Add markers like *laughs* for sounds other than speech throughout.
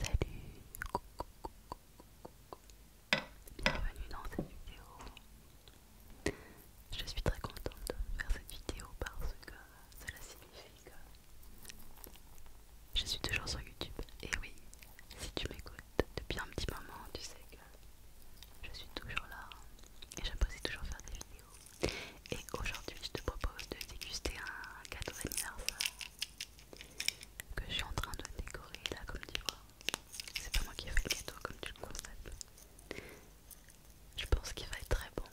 Salut, bienvenue dans cette vidéo. Je suis très contente de faire cette vidéo parce que cela signifie que je suis toujours sur YouTube. Et oui, si tu m'écoutes depuis un petit moment, tu sais que je suis toujours là et j'apprécie toujours faire des vidéos. Et aujourd'hui, je te propose de déguster un cadeau d'anniversaire que je suis en train de décorer là, comme tu vois. C'est pas moi qui ai fait le gâteau, comme tu le constates. Je pense qu'il va être très bon.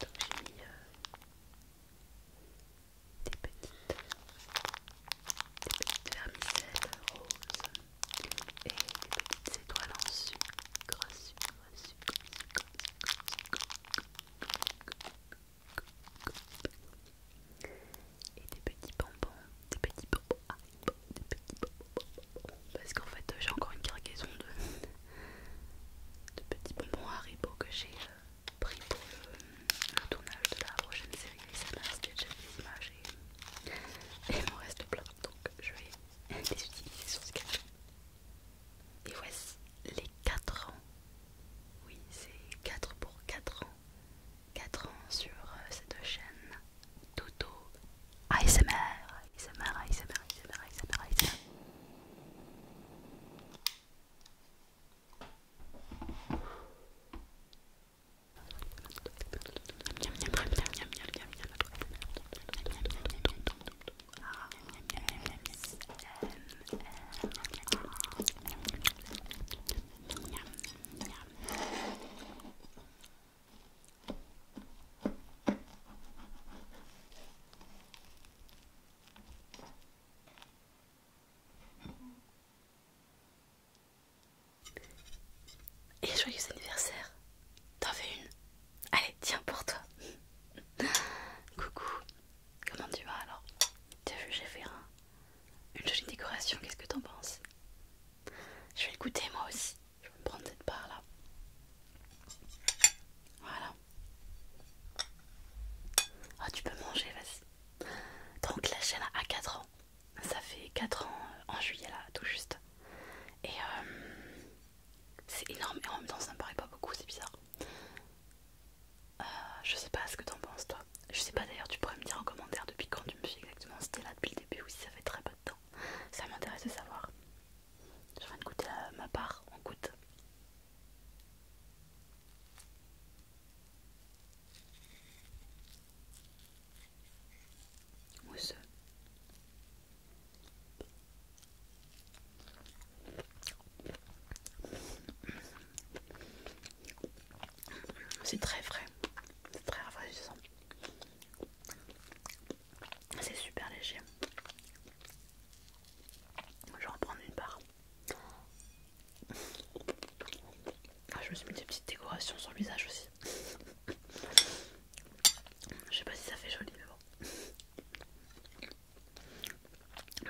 Donc j'ai mis euh, des petites, des vermicelles roses et des petites étoiles en sucre, sucre et des petits bonbons, des petits bonbons, Haribo ah, des petits bonbons, parce qu'en fait j'ai encore une cargaison de, de petits bonbons Haribo que j'ai euh, pris pour le, tournage de la prochaine série. Ça m'a des images et il m'en reste plein, donc je vais des ce Sketchup. Et voici les 4 ans. Oui, c'est 4 pour 4 ans. 4 ans sur cette chaîne Toto ASMR. ASMR, ASMR, ASMR, ASMR, ASMR. Et joyeux anniversaire! T'en fais une? Allez, tiens pour toi. Coucou, comment tu vas alors T'as vu, j'ai fait un... une jolie décoration, qu'est-ce que t'en penses Je vais écouter moi aussi. Je vais me prendre cette part là. Voilà. Ah, oh, tu peux manger, vas-y. Donc, la chaîne a 4 ans. Ça fait 4 ans euh, en juillet là, tout juste. Et euh, c'est énorme, et en même temps ça me paraît pas beaucoup, c'est bizarre. Euh, je sais pas ce que t'en penses toi. Je sais pas d'ailleurs, tu pourrais me dire en commentaire depuis quand tu me suis exactement, si t'es là depuis le début ou si ça fait très peu de temps. Ça m'intéresse de savoir. Je viens de goûter ma part, on goûte. C'est très frais, c'est très rafraîchissant. C'est super léger. Je vais en prendre une part. Ah, je me suis mis des petites décorations sur le visage aussi. Je sais pas si ça fait joli, mais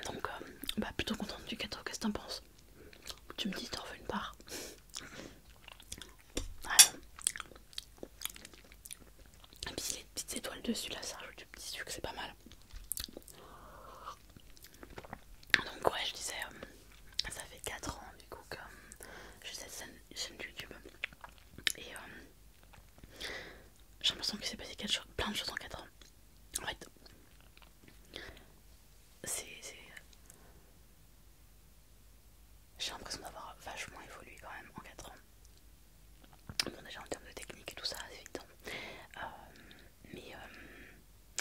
bon. Donc, euh, bah, plutôt contente du gâteau, qu'est-ce que t'en penses Tu me dis, t'en veux une part Et puis, les petites étoiles dessus, là, ça rajoute du petit sucre, c'est pas mal. Donc ouais je disais euh, ça fait 4 ans du coup que euh, j'ai cette scène chaîne YouTube. Et euh, j'ai l'impression que c'est passé plein de choses en 4 ans. En fait, c'est. J'ai l'impression d'avoir vachement évolué quand même en 4 ans. Bon, déjà en termes de technique et tout ça, c'est évident. Euh, mais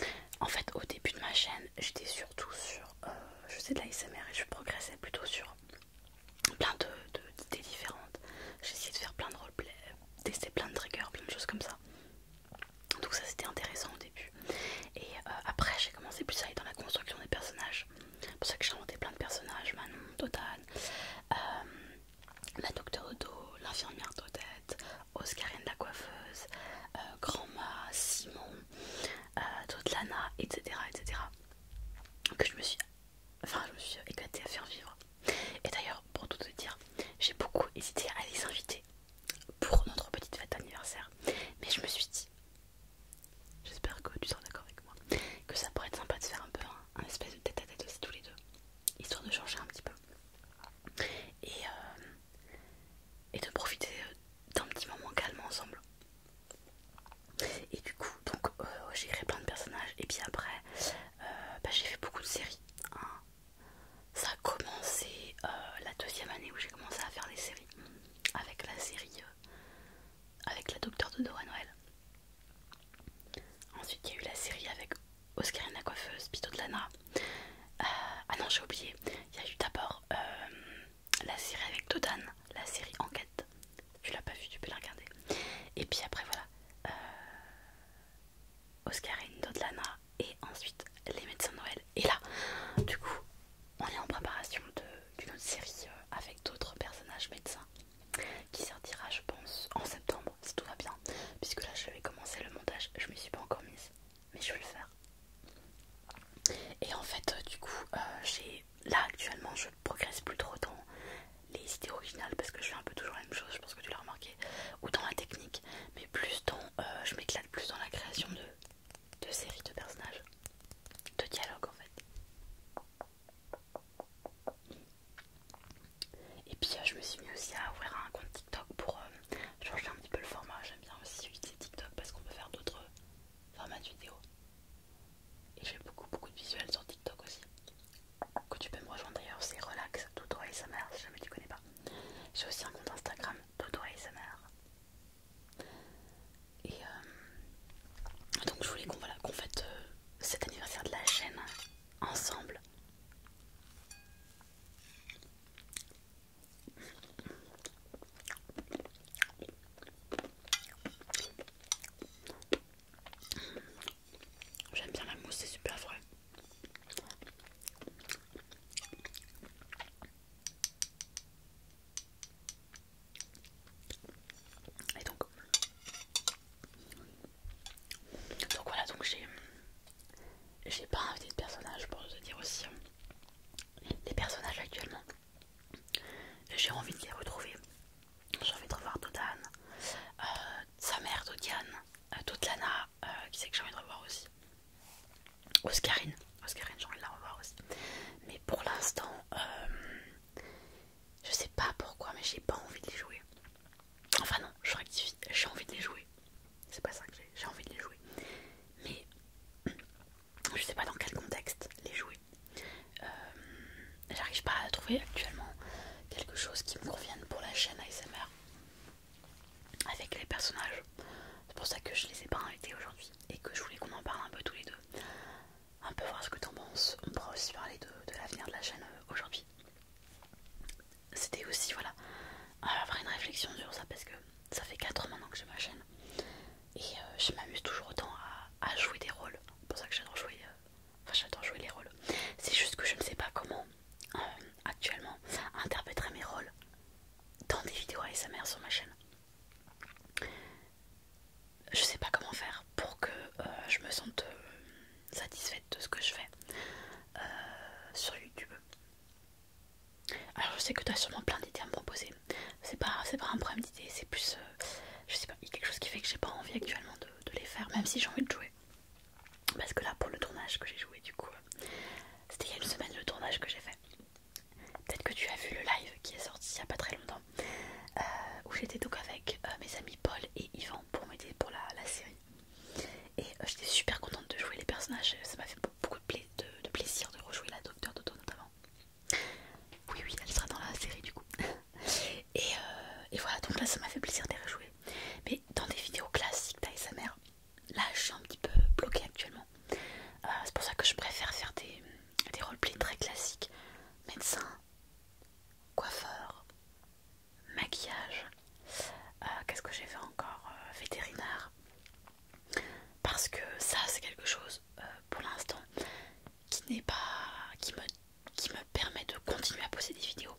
euh, en fait, au début de ma chaîne, j'étais surtout sur euh, je faisais de l'ASMR et je progressais plutôt sur plein d'idées différentes. J'ai essayé de faire plein de roleplay, tester plein de triggers, plein de choses comme ça. Donc ça c'était intéressant au début. Et euh, après j'ai commencé plus à aller dans la construction des personnages. C'est pour ça que j'ai inventé plein de personnages, Manon, Totane, euh, la docteur Odo, l'infirmière Todette, Oscarine la coiffeuse, grand Grandma, Simon, euh, d'autres Lana, etc., etc. Que je me suis, enfin, je me suis éclatée à faire vivre. Et d'ailleurs, pour tout te dire, j'ai beaucoup hésité à les inviter pour notre petite fête d'anniversaire, mais je me suis dit, j'espère que tu seras d'accord avec moi, que ça pourrait être sympa de faire un peu un, espèce de tête à tête aussi tous les deux, histoire de changer un petit peu. Et, euh, et de profiter euh, d'un petit moment calme ensemble. Et du coup, donc euh, j'ai créé plein de personnages. Et puis après, euh, bah, j'ai fait beaucoup de séries. Hein. Ça a commencé euh, la deuxième année où j'ai commencé à faire des séries. Avec la série. avec la docteur de Dora Noël. Ensuite, il y a eu la série avec Oscarine la coiffeuse, Pito de Lana. ah non, j'ai oublié. Il y a eu d'abord la série avec Todan, la série Enquête. Tu l'as pas vu, tu peux la regarder. Et puis après, voilà. Euh, Oscarine, Dodlana et ensuite Les Médecins Noël. Et là, du coup, on est en préparation d'une autre série euh, avec d'autres personnages médecins qui sortira, je pense, en septembre si tout va bien. Puisque là, je vais commencer le montage, je me suis pas encore mise mais je vais le faire. Et en fait, euh, du coup, euh, j'ai là actuellement, je progresse plus trop dans les idées originales parce que je fais un peu toujours la même chose, je pense que tu l'as remarqué, ou dans la technique, mais plus dans, euh, je m'éclate plus dans la création de, séries de personnages, de dialogues en fait. Et puis je me suis mis aussi à ouvrir un compte TikTok pour changer un petit peu le format. J'aime bien aussi utiliser TikTok parce qu'on peut faire d'autres format vidéo. Et j'ai beaucoup beaucoup de visuels sur TikTok aussi. Que tu peux me rejoindre d'ailleurs, c'est relax et si jamais tu connais pas. J'ai aussi un compte Instagram tout Et euh, donc je voulais qu'on voilà, qu'on fête euh, cet anniversaire de la chaîne ensemble. J'aime bien la mousse, c'est super frais. Et donc, donc voilà, donc j'ai pas invité de personnage pour te dire aussi. Hein les personnages actuellement. J'ai envie de les retrouver. J'ai envie de revoir Dodane, euh, sa mère Dodiane, euh, toute euh, qui c'est que j'ai envie de revoir aussi. Oscarine, Oscarine j'ai envie de la revoir aussi. Mais pour l'instant, je sais pas pourquoi, mais j'ai pas envie de les jouer. Enfin non, je rectifie, j'ai envie de les jouer. C'est pas ça que j'ai, j'ai envie de les jouer. Mais je sais pas dans quel contexte les jouer. Euh, j'arrive pas à trouver actuellement quelque chose qui me convienne pour la chaîne ASMR avec les personnages. C'est pour ça que je les ai pas invités aujourd'hui et que je voulais qu'on en parle un peu tous les deux. Un peu voir ce que t'en penses. On pourra aussi parler de, l'avenir de la chaîne euh, aujourd'hui. C'était aussi voilà, avoir une réflexion sur ça parce que ça fait 4 ans maintenant que j'ai ma chaîne et euh, je m'amuse toujours autant à, jouer des rôles. C'est pour ça que j'adore jouer, euh, enfin, jouer les rôles. C'est juste que je ne sais pas comment euh, actuellement interpréter mes rôles dans des vidéos ASMR sur ma chaîne. Je sais pas comment faire pour que je me sente satisfaite de ce que je fais sur YouTube. Alors je sais que tu as sûrement plein d'idées à me proposer. C'est pas, un problème d'idées, c'est plus... Euh, je sais pas, quelque chose qui fait que j'ai pas envie actuellement de, les faire, même si j'ai envie de jouer. Parce que là pour le tournage que j'ai joué du coup, euh, c'était il y a une semaine le tournage que j'ai fait. Peut-être que tu as vu le live qui est sorti il y a pas très longtemps. Euh, où j'étais donc avec mes amis Paul et Yvan pour m'aider pour la, série. Et j'étais super contente de jouer les personnages, ça m'a fait beaucoup de, plaisir de rejouer la Docteur Dodo notamment. Oui, oui, elle sera dans la série du coup. *laughs* Euh, et, voilà, donc là ça m'a fait plaisir de les rejouer. Mais dans des vidéos classiques d'ASMR, là je suis un petit peu bloquée actuellement. Euh, c'est pour ça que je préfère faire des, des roleplays très classiques. Médecin, coiffeur, maquillage, euh, qu'est-ce que j'ai fait encore Vétérinaire parce que ça c'est quelque chose euh, pour l'instant qui n'est pas qui me, permet de continuer à poser des vidéos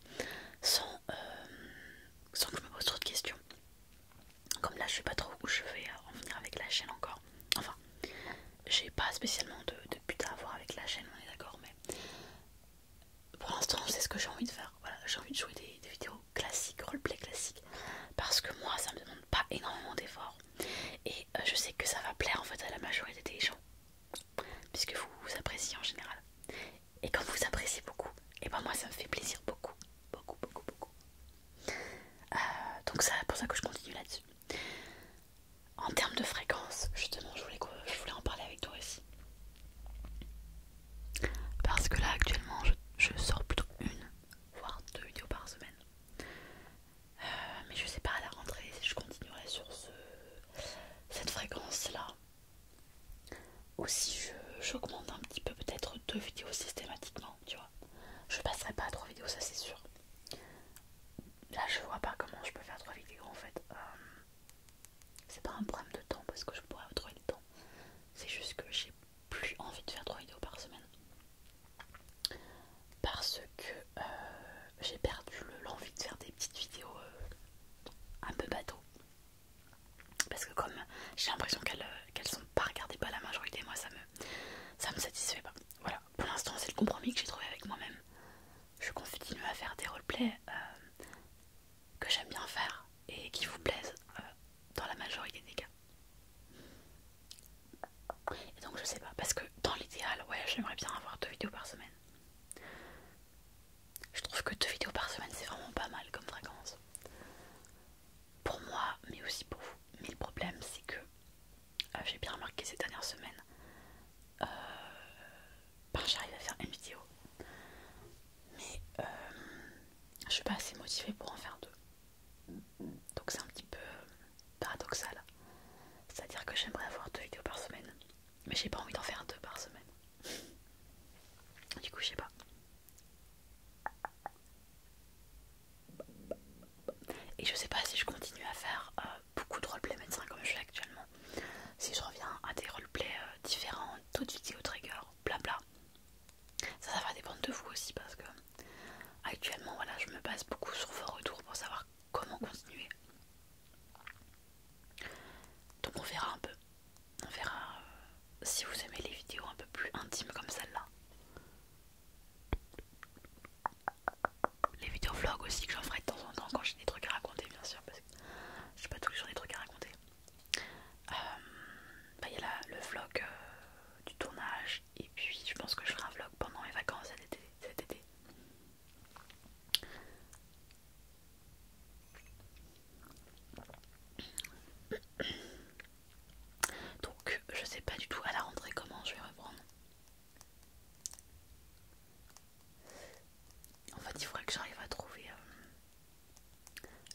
sans, euh, sans que je me pose trop de questions comme là je sais pas trop où je vais euh, en venir avec la chaîne encore enfin j'ai pas spécialement de, but à avoir avec la chaîne on est d'accord mais pour l'instant c'est ce que j'ai envie de faire voilà j'ai envie de jouer des vidéos classique, roleplay classique, parce que moi ça me demande pas énormément d'efforts et euh, je sais que ça va plaire en fait à la majorité des gens, puisque vous vous appréciez en général. Et quand vous appréciez beaucoup, et eh ben moi ça me fait plaisir beaucoup, beaucoup, beaucoup, beaucoup. Euh, donc c'est pour ça que je continue là-dessus. En termes de fréquence, justement, je voulais, je voulais en parler avec toi aussi. Parce que là actuellement je, sors plutôt une, voire deux vidéos par semaine. Euh, mais je sais pas à la rentrée si je continuerai sur ce, cette fréquence là. Ou si j'augmente un petit peu peut-être deux vidéos systématiquement, tu vois. Je passerai pas à trois vidéos, ça c'est sûr. Là je vois pas comment je peux faire trois vidéos en fait. Euh, c'est pas un problème de temps parce que je pourrais trop du temps. C'est juste que j'ai plus envie de faire trois vidéos par semaine parce que euh, j'ai perdu l'envie de faire des petites vidéos euh, un peu bateau parce que comme j'ai l'impression euh, qu'elles sont pas regardées par la majorité moi ça me ça me satisfait pas voilà pour l'instant c'est le compromis que j'ai trouvé avec moi-même je continue à faire des roleplays que j'aime bien faire et qui vous plaisent euh, dans la majorité des cas. Et donc je sais pas, parce que dans l'idéal, ouais, j'aimerais bien avoir deux vidéos par semaine. Je trouve que deux vidéos par semaine c'est vraiment pas mal comme fréquence. Pour moi, mais aussi pour vous. Mais le problème c'est que euh, j'ai bien remarqué ces dernières semaines, euh, ben, j'arrive à faire une vidéo. Mais euh, je suis pas assez motivée pour en faire deux. Donc c'est un petit peu euh, paradoxal. C'est-à-dire que j'aimerais avoir deux vidéos par semaine, mais j'ai pas envie d'en faire deux par semaine. Du coup, je sais pas. Et je sais pas si je continue à faire euh, beaucoup de roleplay médecin comme je fais actuellement. Si je reviens à des roleplays euh, différents, toutes vidéos trigger, blabla. Ça, va dépendre de vous aussi parce que actuellement, voilà, je me base beaucoup sur vos retours pour savoir comment continuer. Donc on verra un peu. On verra euh, si vous aimez les vidéos un peu plus intimes comme celle-là. Les vidéos vlog aussi que j'en ferai de temps en temps quand j'ai des trucs à raconter bien sûr parce que j'ai pas toujours les des trucs à raconter. Euh, bah, il y a le vlog euh, du tournage et puis je pense que je ferai un vlog pendant mes vacances cet été, donc je sais pas du tout à la rentrée comment je vais reprendre en fait il faudrait que j'arrive à trouver euh,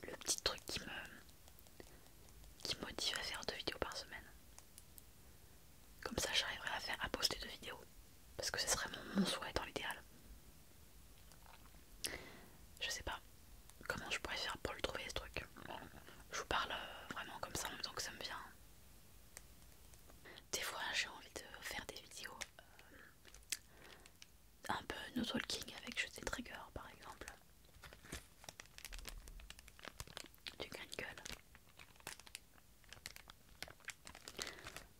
le petit truc qui me qui motive à faire deux vidéos par semaine. Comme ça j'arriverai à faire à poster deux vidéos. Parce que ce serait mon, souhait dans l'idéal. Je sais pas comment je pourrais faire pour le trouver ce truc. Je vous parle euh, vraiment comme ça en même temps que ça me vient. Des fois j'ai envie de faire des vidéos euh, un peu no talking avec des trigger par exemple du une gueule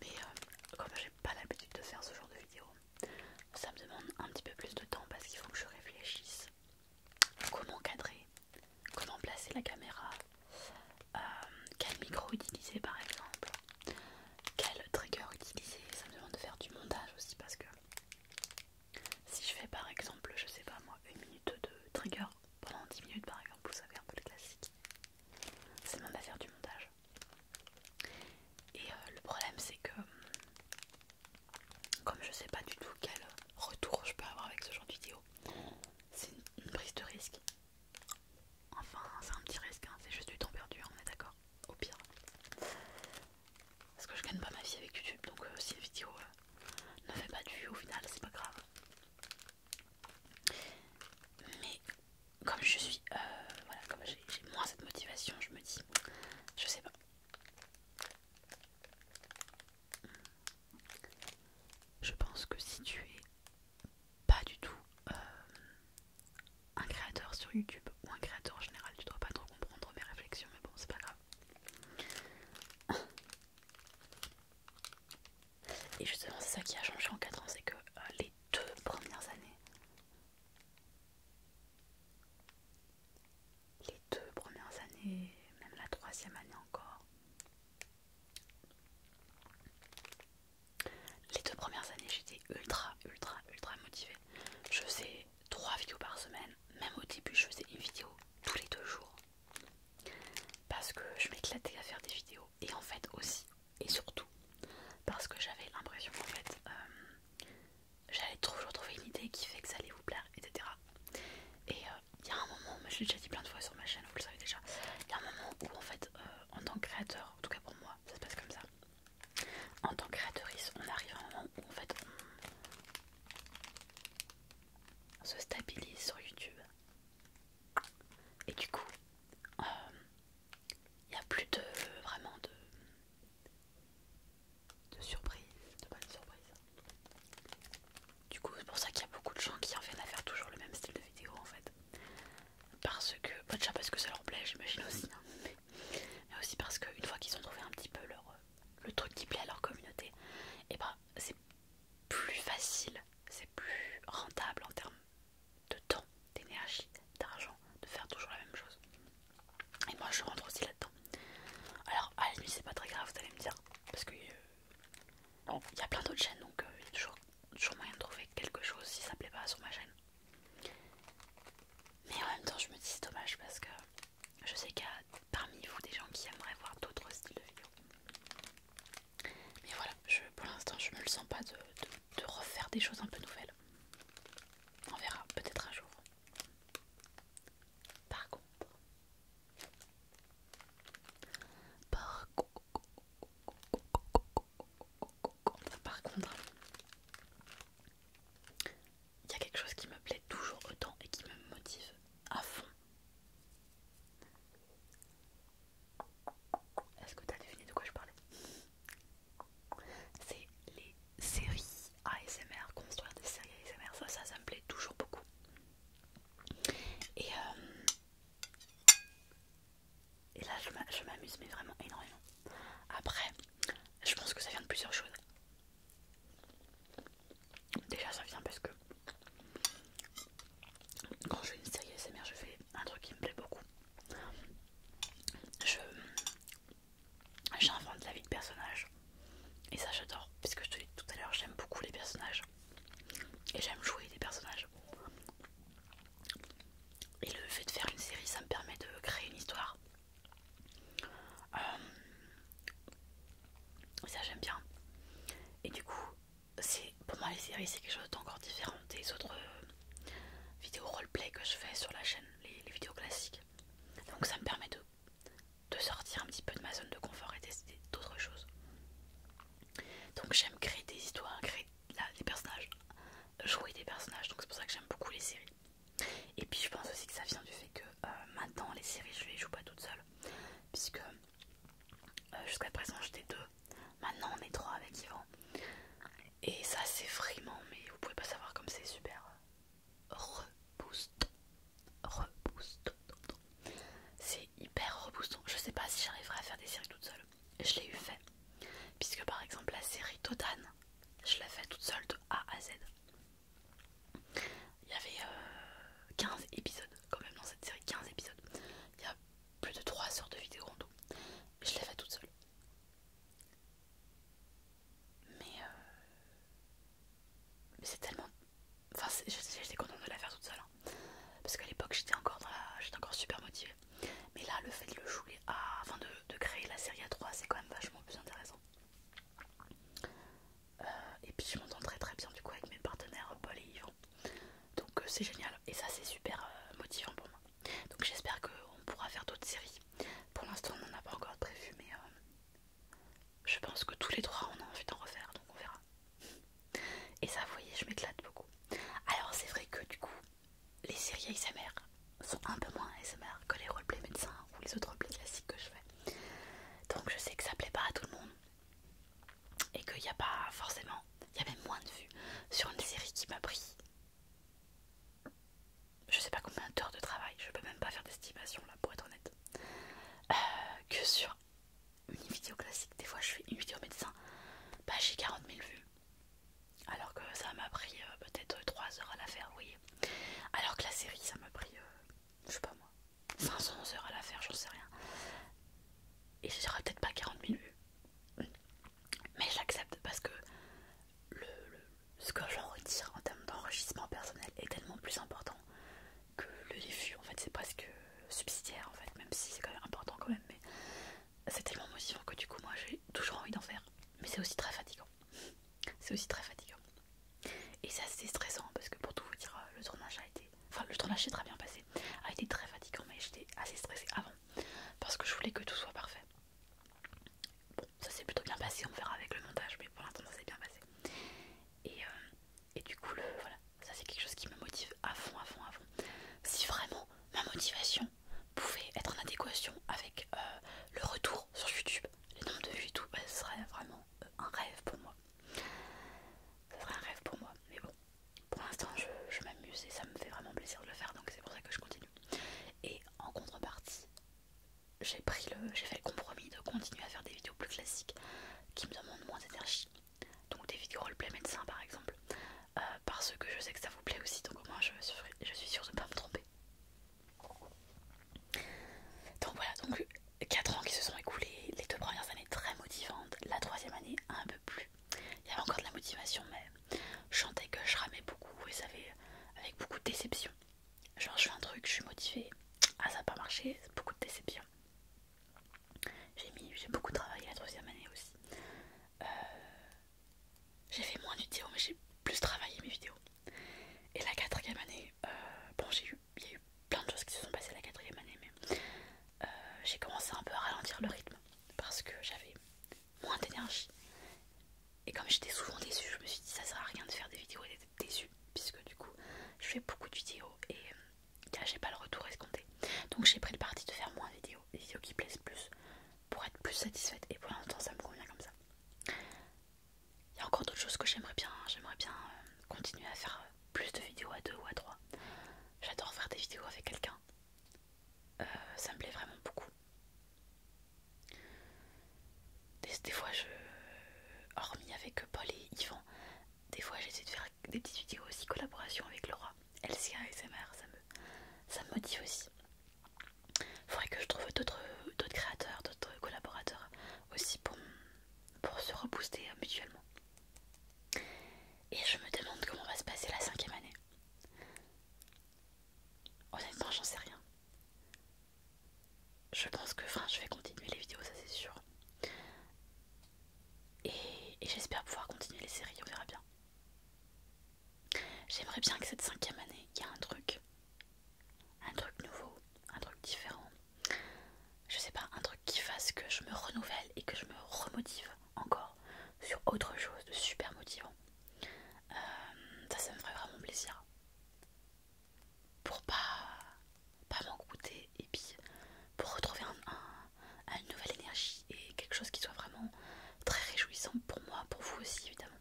mais euh, comme j'ai pas l'habitude de faire ce genre de vidéo ça me demande un petit peu plus de temps parce qu'il faut que je réfléchisse comment cadrer comment placer la caméra euh, quel micro utiliser par exemple quel trigger utiliser Ça me demande de faire du montage aussi parce que si je fais par exemple, je sais pas moi, une minute de trigger pendant 10 minutes par exemple, vous savez un peu le classique, ça demande à faire du montage. Et euh, le problème c'est que comme je sais pas du tout quel retour je peux avoir avec ce genre de vidéo, c'est une, prise de risque. Enfin, c'est un petit risque, hein, c'est juste du temps perdu, on est d'accord au pire. Parce que je gagne pas ma vie avec YouTube, donc euh, si la vidéo euh, ne fait pas du au final, c'est pas grave. Mais comme je suis, euh, voilà, comme j'ai moins cette motivation, je me dis, je sais pas. Je pense que si tu es pas du tout un créateur sur YouTube ou un créateur en général, tu dois pas trop comprendre mes réflexions, mais bon, c'est pas grave. Et justement, c'est ça qui a changé en 4 ans, c'est que euh, les deux premières années, les deux premières années, même la troisième année encore, les deux premières années, j'étais ultra, ultra, ultra motivée. Je faisais trois vidéos par semaine. Même au début, je faisais une vidéo tous les deux jours. Parce que je m'éclatais à faire des vidéos. Et en fait aussi, et surtout, parce que j'avais l'impression qu'en fait, euh, j'allais toujours trouver une idée qui fait que ça allait vous plaire, etc. Et euh, il y a un moment, je l'ai déjà dit plein de fois sur ma chaîne, vous le savez déjà, il y a un moment où en fait, euh, en tant que créateur, en tout cas pour moi, ça se passe comme ça. En tant que créatrice, on arrive à un moment où en fait on se stabilise sur YouTube. Et du coup, il euh, n'y a plus de vraiment de, de de bonnes surprises. Du coup, c'est pour ça qu'il y a beaucoup de gens qui en viennent à faire toujours le même style de vidéo en fait parce que, bah, déjà parce que ça leur plaît, j'imagine aussi, hein. mais, aussi parce qu'une fois qu'ils ont trouvé un petit peu leur, le truc qui plaît à leur communauté, et eh bah ben, c'est plus facile, c'est plus rentable en termes de temps, d'énergie, d'argent, de faire toujours la même chose. Et moi je rentre aussi là-dedans. Alors à la nuit c'est pas très grave, vous allez me dire, parce que euh, il y a plein d'autres chaînes donc euh, il y a toujours moyen de trouver quelque chose si ça plaît pas sur ma chaîne. Mais en même temps, je me dis c'est dommage parce que je sais qu'il y a parmi vous des gens qui aimeraient voir d'autres styles de vidéos. Mais voilà, je, pour l'instant, je me le sens pas de, refaire des choses un peu nouvelles. On verra peut-être un jour. Par par contre, par contre, il y a quelque chose qui me plaît toujours autant et qui me motive à fond. Est-ce que tu as deviné de quoi je parlais C'est les séries ASMR, construire des séries ASMR, ça, ça, ça me plaît toujours beaucoup. Et euh, et là, je m'amuse, mais vraiment énormément. Après, je pense que ça vient de plusieurs choses. Déjà, ça vient parce que quand je fais une série SMR, je fais un truc qui me plaît beaucoup. Je j'invente la vie de personnage et ça j'adore puisque je te l'ai dit tout à l'heure j'aime beaucoup les personnages et j'aime jouer des personnages et le fait de faire une série, ça me permet de créer une histoire. Euh, ça j'aime bien. Et du coup, c'est pour moi les séries, c'est quelque chose d'encore différent des autres vidéos euh, vidéos roleplay que je fais sur la chaîne, les, vidéos classiques. Donc ça me permet de, sortir un petit peu de ma zone de confort et d'essayer d'autres choses. Donc j'aime créer des histoires, créer là, les personnages, jouer des personnages, donc c'est pour ça que j'aime beaucoup les séries. Et puis je pense aussi que ça vient du fait que euh, maintenant les séries je les joue pas toutes seules puisque euh, jusqu'à présent j'étais deux, maintenant on est trois avec Yvan. Et ça c'est vraiment, mais vous pouvez pas savoir comme c'est super euh, reboost reboost c'est hyper reboostant. Je sais pas si j'arriverai à faire des séries toute seule je l'ai eu fait. Puisque par exemple la série Totane, je l'ai fait toute seule de A à Z. Il y avait 15 euh, épisodes quand même dans cette série, 15 épisodes. Il y a plus de 3 heures de vidéo en tout. Je l'ai fait toute seule. Mais, euh, Mais c'est tellement... Enfin j'étais contente de la faire toute seule. Hein parce qu'à l'époque j'étais encore j'étais encore super motivée mais là le fait de le jouer à... de, créer la série à 3 c'est quand même vachement plus intéressant euh, et puis je m'entends très très bien du coup avec mes partenaires euh, Paul et Yvon. donc euh, c'est génial et ça c'est super motivant pour moi donc j'espère qu'on pourra faire d'autres séries pour l'instant on n'en a pas encore prévu mais je pense que tous les trois on a envie d'en refaire donc on verra et ça, vous voyez, je m'éclate beaucoup. Alors, c'est vrai que du coup, les séries ASMR sont un peu moins ASMR que les roleplays médecins ou les autres roleplays classiques que je fais. Donc, je sais que ça plaît pas à tout le monde et qu'il n'y a pas forcément, il y a même moins de vues sur une série qui m'a pris je sais pas combien d'heures de travail, je peux même pas faire d'estimation là pour être honnête, euh, que sur une vidéo classique, des fois je fais une vidéo médecin, bah j'ai 40 000 vues. Alors que ça m'a pris euh, peut-être 3 heures à la faire, oui. Alors que la série, ça m'a pris, euh, je sais pas moi, 500 heures à la faire, j'en sais rien. Et je peut-être pas 40 000 vues. Mais j'accepte parce que le, ce que j'en retire en termes d'enrichissement personnel est tellement plus important que le vues. En fait, c'est presque subsidiaire, en fait, même si c'est quand même important quand même. Mais c'est tellement motivant que du coup moi j'ai toujours envie d'en faire. Mais c'est aussi très fatigant. C'est aussi très fatigant. Et c'est assez stressant parce que pour tout vous dire, le tournage a été... Enfin le tournage s'est très bien passé. A été très fatigant mais j'étais assez stressée avant. Parce que je voulais que tout soit parfait. Bon, ça s'est plutôt bien passé, on verra avec le montage, mais pour l'instant ça s'est bien passé. Et, euh, et du coup, le, voilà, ça c'est quelque chose qui me motive à fond, à fond, à fond. Si vraiment ma motivation pouvait être en adéquation avec euh, le retour sur YouTube, les nombres de vues tout, bah, serait vraiment euh, un rêve pour moi. Ce serait un rêve pour moi. Mais bon, pour l'instant je, je m'amuse et ça me fait vraiment plaisir de le faire, donc c'est pour ça que je continue. Et en contrepartie, j'ai pris le, j'ai fait le compromis de continuer à faire des vidéos plus classiques qui me demandent moins d'énergie donc des vidéos play médecin par exemple, euh, parce que je sais que ça vous plaît aussi, donc au moins je suis, sûre de ne pas me tromper. Donc voilà, donc 4 ans qui se sont écoulés, les deux premières années très motivantes, la troisième année un peu plus. Il y avait encore de la motivation, mais je sentais que je ramais beaucoup et ça avait avec beaucoup de déception. Genre je fais un truc, je suis motivée, ah ça n'a pas marché, beaucoup de déception. J'ai beaucoup travaillé la troisième année aussi. Euh, j'ai fait moins de vidéos, mais j'ai plus travaillé mes vidéos. Et la quatrième année, euh, bon, j'ai eu, il y a eu plein de choses qui se sont passées la quatrième année, mais euh, j'ai commencé un peu à ralentir le rythme parce que j'avais moins d'énergie. Et comme j'étais souvent déçue, je me suis dit ça sert à rien de faire des vidéos et d'être déçue, puisque du coup, je fais beaucoup de vidéos et j'ai pas le retour escompté. Donc, j'ai pris le parti de faire moins de vidéos, vidéos qui plaisent plus, pour être plus satisfaite. Et pour l'instant, ça me convient comme ça. Il y a encore d'autres choses que j'aimerais bien. J'aimerais bien euh, continuer à faire euh, plus de vidéos à deux ou à trois. J'adore faire des vidéos avec quelqu'un. Euh, ça me plaît vraiment beaucoup. Des, des fois, je, hormis avec Paul et Yvan, des fois j'essaie de faire des petites vidéos aussi, collaboration avec Laura, LCA ASMR, ça me, ça me motive aussi. Faudrait que je trouve d'autres créateurs, d'autres collaborateurs aussi pour, pour se rebooster euh, mutuellement. Et je me demande comment va se passer la cinquième année. Honnêtement, j'en sais rien. Je pense que, enfin, je vais continuer les vidéos, ça c'est sûr. Et, j'espère pouvoir continuer les séries, on verra bien. J'aimerais bien que cette cinquième année, il y ait un truc. Un truc nouveau, un truc différent. Je sais pas, un truc qui fasse que je me renouvelle et que je me remotive encore sur autre chose de super motivant. Euh, ça, ça me ferait vraiment plaisir. Pour pas pas goûter et puis pour retrouver une nouvelle énergie et quelque chose qui soit vraiment très réjouissant pour moi, pour vous aussi évidemment.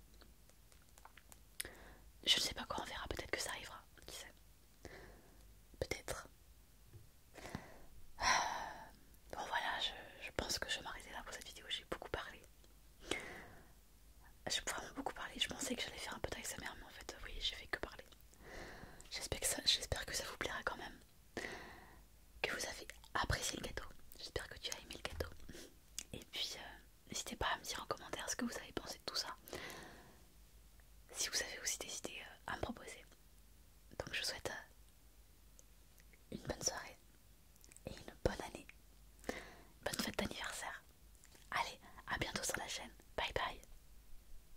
Je ne sais pas quoi on verra, peut-être que ça arrivera, qui sait. Peut-être. Ah. Bon voilà, je, pense que je vais m'arrêter là pour cette vidéo, j'ai beaucoup parlé. J'ai vraiment beaucoup parlé, je pensais que j'allais faire un peu mère mais en fait oui j'ai fait que parler. J'espère que, que ça vous plaira quand même. Que vous avez apprécié le gâteau. J'espère que tu as aimé le gâteau. Et puis, euh, n'hésitez pas à me dire en commentaire ce que vous avez pensé de tout ça. Si vous avez aussi des idées euh, à me proposer. Donc, je vous souhaite euh, une bonne soirée et une bonne année. Bonne fête d'anniversaire. Allez, à bientôt sur la chaîne. Bye bye.